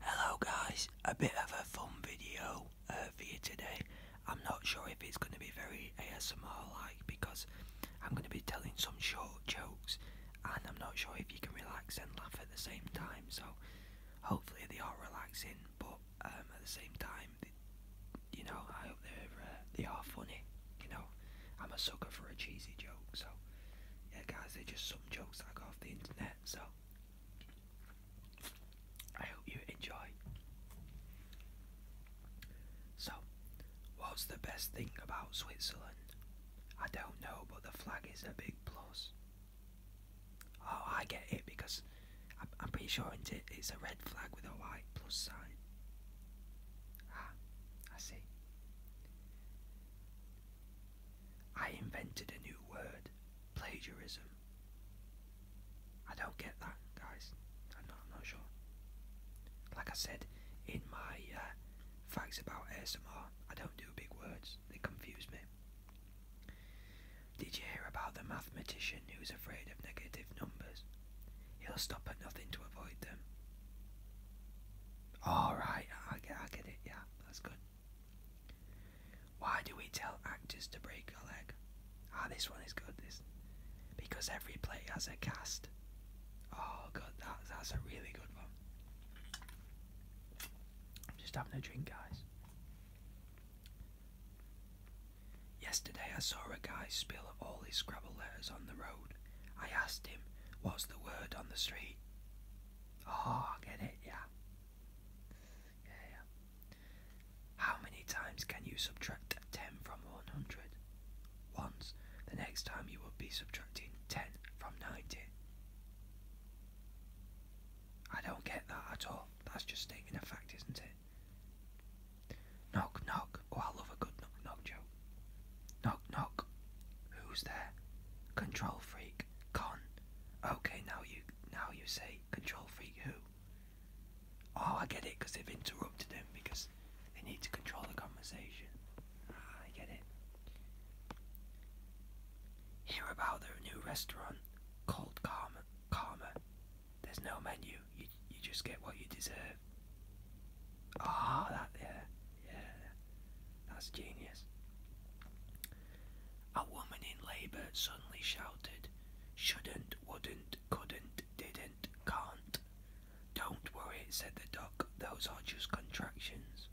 Hello guys, a bit of a fun video uh, for you today. I'm not sure if it's going to be very ASMR like because I'm going to be telling some short jokes and I'm not sure if you can relax and laugh at the same time so hopefully they are relaxing but um, at the same time you know I hope they're, uh, they are funny you know I'm a sucker for a cheesy joke so yeah guys they're just so jokes I got off the internet. So I hope you enjoy. So, what's the best thing about Switzerland? I don't know, but the flag is a big plus. Oh, I get it because I'm, I'm pretty sure it's a red flag with a white plus sign. Ah, I see. I invented a new word, plagiarism. I don't get that, guys. I'm not, sure. Like I said in my uh, facts about ASMR, I don't do big words. They confuse me. Did you hear about the mathematician who's afraid of negative numbers? He'll stop at nothing to avoid them. Alright, I get, I get it, yeah, that's good. Why do we tell actors to break a leg? Ah, this one is good. This because every play has a cast. Oh, god, that, that's a really good one. I'm just having a drink, guys. Yesterday, I saw a guy spill all his Scrabble letters on the road. I asked him, What's the word on the street? Oh, I get it, yeah. Yeah, yeah. How many times can you subtract 10 from 100? Once. The next time you will be subtracting 10 from 90. I don't get that at all. That's just stating a fact, isn't it? Knock, knock. Oh, I love a good knock, knock joke. Knock, Knock, Who's there? Control freak. Con. Okay, now you, now you say control freak who? Oh, I get it, because they've interrupted him because they need to control the conversation. Ah, I get it. Hear about their new restaurant called Karma. Karma. There's no menu. You you just get what you deserve. Ah, oh, that there. Yeah. Yeah, that's genius. A woman in labour suddenly shouted, Shouldn't, wouldn't, couldn't, didn't, can't. Don't worry, said the duck, those are just contractions.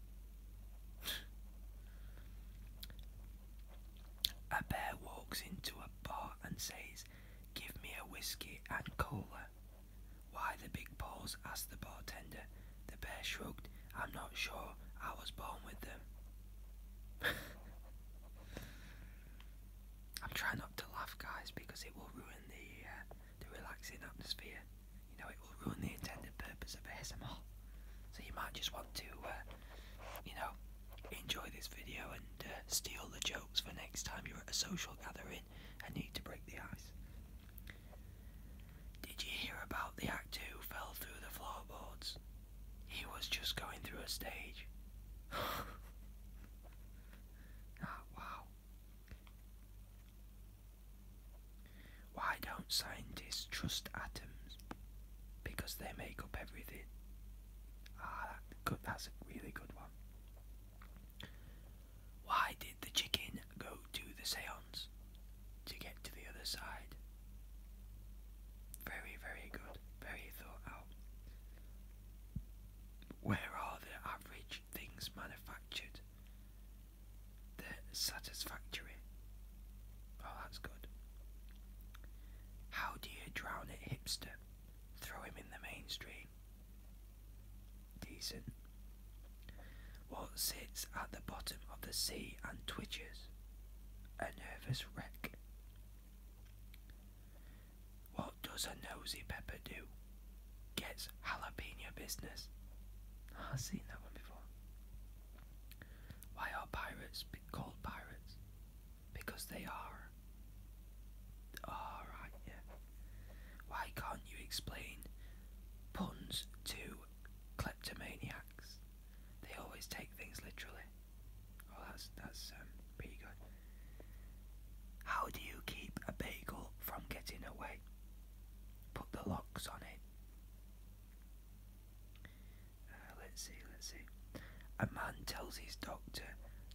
a bear walks into a bar and says, Give me a whiskey and cola. Why the big paws? asked the bartender. The bear shrugged. I'm not sure I was born with them. I'm trying not to laugh, guys, because it will ruin the uh, the relaxing atmosphere. You know, it will ruin the intended purpose of ASMR. So you might just want to, uh, you know, enjoy this video and uh, steal the jokes for next time you're at a social gathering and need to break the ice. Did you hear about the actor who fell through the floorboards? He was just going through a stage. ah, wow. Why don't scientists trust atoms? Because they make up everything. Ah, that's a really good one. Why did the chicken go to the seance to get to the other side. Very, very good, very thought out. Where are the average things manufactured? They're satisfactory. Oh, that's good. How do you drown it, hipster? Throw him in the mainstream. Decent what sits at the bottom of the sea and twitches? A nervous wreck. What does a nosy pepper do? Gets jalapeno business. Ah, I've seen that one before. Why are pirates called pirates? Because they are. Alright, yeah. Why can't you explain puns to kleptomaniacs. They always take things literally. Oh, that's that's um, pretty good. How do you keep a bagel from getting away? Put the locks on it. Uh, let's see, let's see. A man tells his doctor,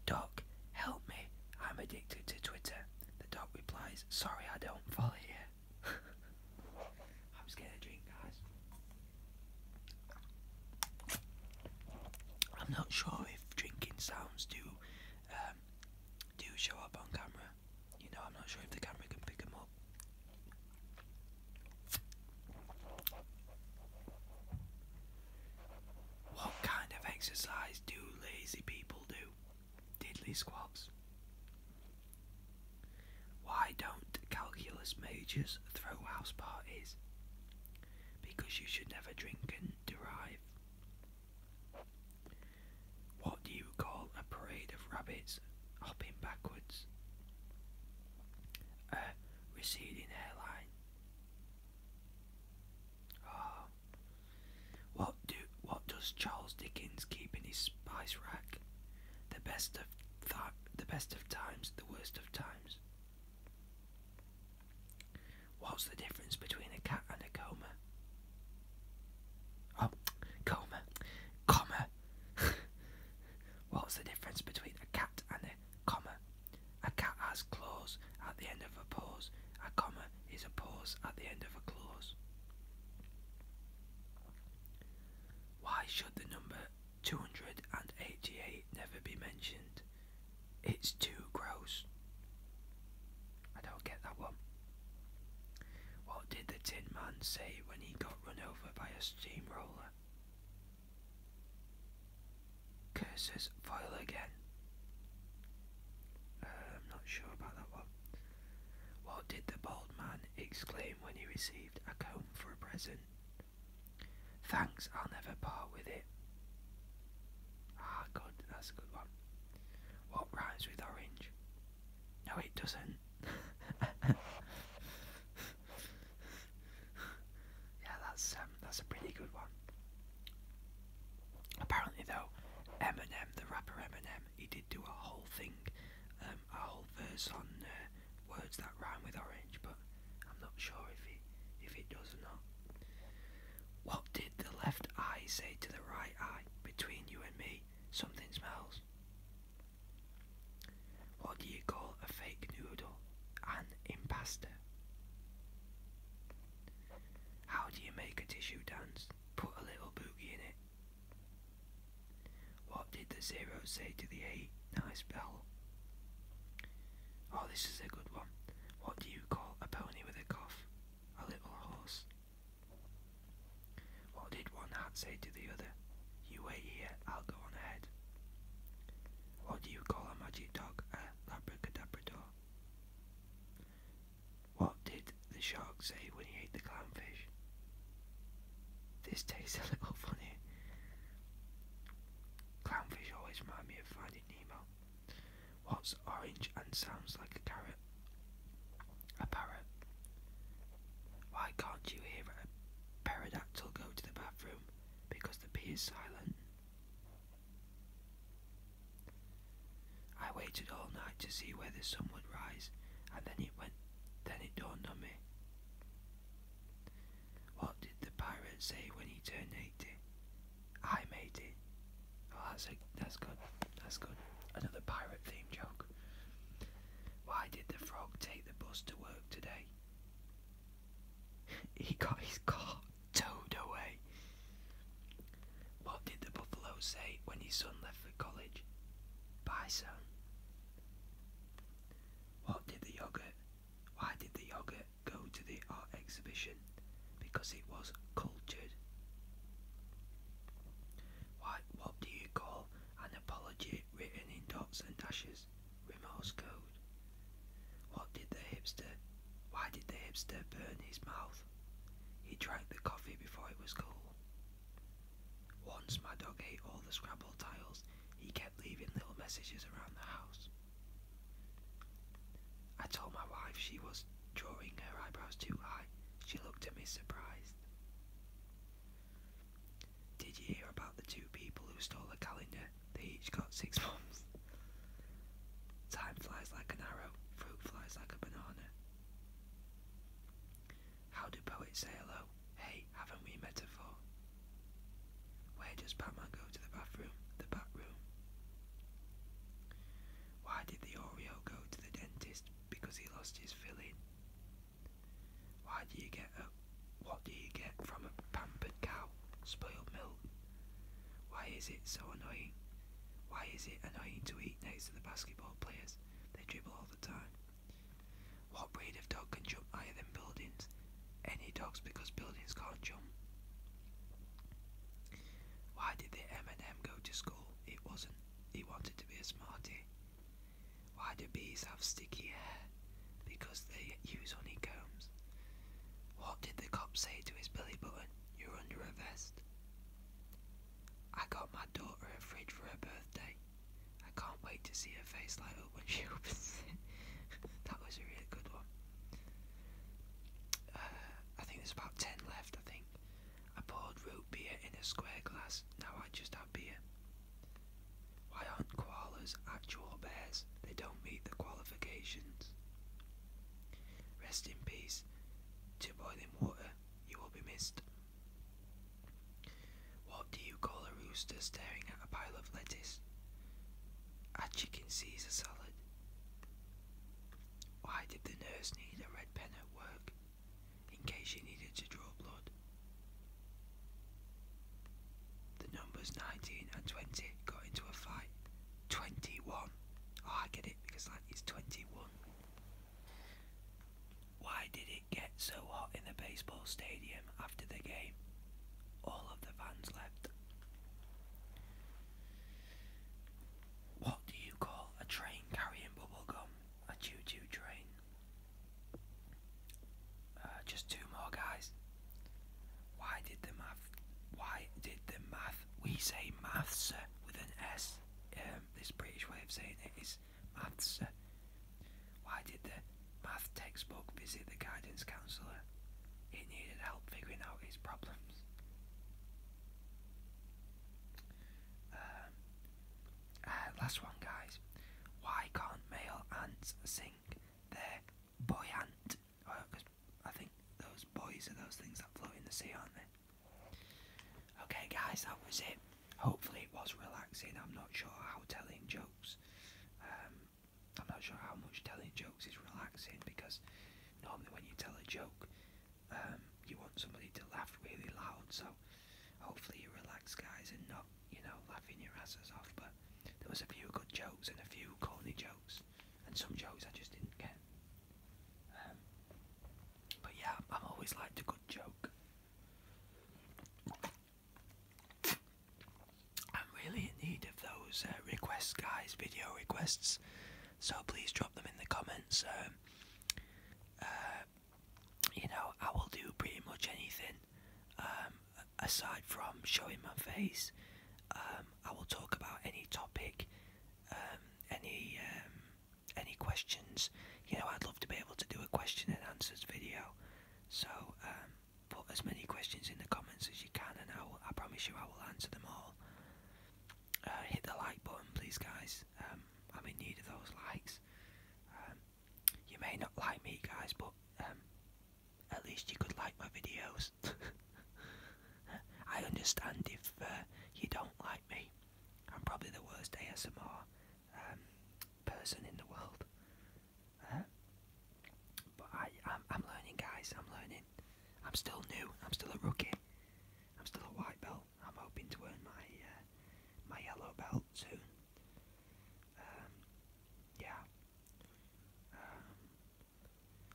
Doc, help me, I'm addicted to Twitter. The doc replies, Sorry, I don't follow you. I'm just getting a guys. I'm not sure if drinking sounds do um, do show up on camera. You know, I'm not sure if the camera can pick them up. What kind of exercise do lazy people do? Diddly squabs. Why don't calculus majors throw house parties? Because you should never drink and derive. What do you call a parade of rabbits hopping backwards? A receding hairline. Oh, what do what does Charles Dickens keep in his spice rack? The best of the best of times, the worst of times. What's the difference between a cat and a coma? Oh, coma, comma. What's the difference between a cat and a comma? A cat has claws at the end of a pause. A comma is a pause at the end of a clause. Why should the number 288 never be mentioned? It's too gross. I don't get that one. What did the Tin Man say when he got run over by a steamroller? Curses foil again. Uh, I'm not sure about that one. What did the bald man exclaim when he received a comb for a present? Thanks, I'll never part with it. Ah, good, that's a good one. What rhymes with orange? No, it doesn't. yeah, that's um, that's a pretty good one. Apparently, though, Eminem, the rapper Eminem, he did do a whole thing um, a whole verse on uh, words that rhyme with orange, but I'm not sure if it if it does or not. What did the left eye say to the right eye? Between you and me, something smells. What do you call a fake noodle? An impasta. How do you make a tissue dance? Put a little boogie in it. What did the zero say to the eight? Nice bell. Oh, this is a good one. What do you call a pony with a cough? A little horse. What did one hat say to the other? You wait here, I'll go on ahead. What do you call a magic dog? A labracadabrador. What did the shark say when he ate the clownfish? This tastes a little funny. Clownfish always remind me of Finding Nemo. What's orange and sounds like a carrot? A parrot. Why can't you hear a pterodactyl go to the bathroom? Because the pee is silent. I waited all night to see whether the sun would rise, and then it went then it dawned on me. What did the pirate say when he turned eighty? I made it. Oh that's a, that's good. That's good. Another pirate theme joke. Why did the frog take the bus to work today? he got his car towed away. What did the buffalo say when his son left for college? Bye, son. What did the yogurt? Why did the yogurt go to the art exhibition? Because it was cultured. Why, what do you call an apology written in dots and dashes? Remorse code. What did the hipster? Why did the hipster burn his mouth? He drank the coffee before it was cool. Once my dog ate all the Scrabble tiles, he kept leaving little messages around the house. I told my wife she was drawing her eyebrows too high. She looked at me surprised. Did you hear about the two people who stole a calendar? They each got six months. Time flies like an arrow, fruit flies like a banana. How do poets say hello? Hey, haven't we met before? Where does Batman go to the bathroom? The bathroom. Why did the Oreo go to the dentist? Because he lost his filling. Why do you get up? what do you get from a pampered cow? Spoiled milk. Why is it so annoying? Why is it annoying to eat next to the basketball players? They dribble all the time. What breed of dog can jump higher than buildings? Any dogs because buildings can't jump. Why did the M&M go to school? It wasn't. He wanted to be a smarty. Why do bees have sticky hair? Because they use honeycombs. What did the cop say to his belly button? You're under arrest. I got my daughter a fridge for her birthday. I can't wait to see her face light up when she opens it. that was a really good one. Uh, I think there's about 10 left, I think. I poured root beer in a square glass, now I just have beer. Why aren't koalas actual bears? They don't meet the qualifications. Rest in peace. To boiling water, you will be missed. What do you call a rooster staring at a pile of lettuce? A chicken Caesar salad. Why did the nurse need a red pen at work? In case she needed to draw blood. The numbers 19 and 20 got into a fight. 21. Oh, I get it because like it's 21. Why did it get so hot in the baseball stadium after the game? All of the fans left. What do you call a train carrying bubblegum? A choo choo train. Uh, just two more guys. Why did the math? Why did the math? We say maths uh, with an S. Um, um, this British way of saying it is maths. Why did the math textbook visit the guidance counsellor? It needed help figuring out its problems. Um, uh, last one, guys. Why can't male ants sing their buoyant? Because I think those boys are those things that float in the sea, aren't they? Okay, guys, that was it. Hopefully, it was relaxing. I'm not sure how telling jokes. Um, I'm not sure how much telling jokes is relaxing because normally when you tell a joke, um, you want somebody to laugh really loud. So hopefully you relaxed, guys, and not you know laughing your asses off. But there was a few good jokes and a few corny jokes, and some jokes I just didn't get. Um, but yeah, i have always liked to good joke. I'm really in need of those uh, requests, guys, video requests. So please drop them in the comments. Uh, uh, you know, I will do pretty much anything. Um, aside from showing my face, um, I will talk about any topic, um, any any questions, you know, I'd love to be able to do a question and answers video. So um, put as many questions in the comments as you can, and I, will, I promise you I will answer them all. Uh, hit the like button, please, guys. Um, I'm in need of those likes. Um, you may not like me, guys, but at least you could like my videos. I understand if uh, you don't like me. I'm probably the worst ASMR um, person in the world. Uh-huh. but I, am I'm learning, guys. I'm learning. I'm still new. I'm still a rookie. I'm still a white belt. I'm hoping to earn my uh, my yellow belt soon. Um, yeah. Um,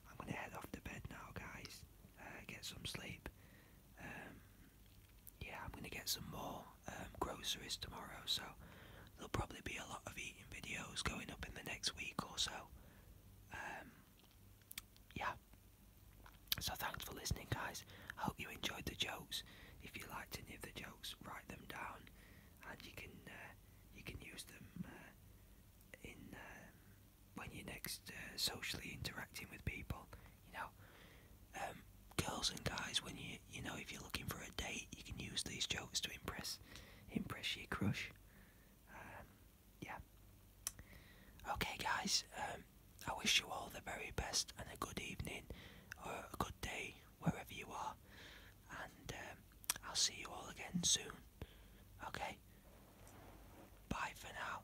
I'm gonna head off to bed now, guys. Uh, get some sleep. Um, yeah, I'm gonna get some more um, groceries tomorrow, so there'll probably be a lot of eating videos going up in the next week or so. Um, yeah. So thanks for listening, guys. I hope you enjoyed the jokes. If you liked any of the jokes, write them down, and you can uh, you can use them uh, in when you're next uh, socially interacting with people. You know, um, girls and guys, when you you know if you're looking for a date, you can use these jokes to impress impress your crush. Um, yeah. Okay, guys. Um, I wish you all the very best and a good evening or a good day wherever you are, and I'll see you all again soon. Okay. Bye for now.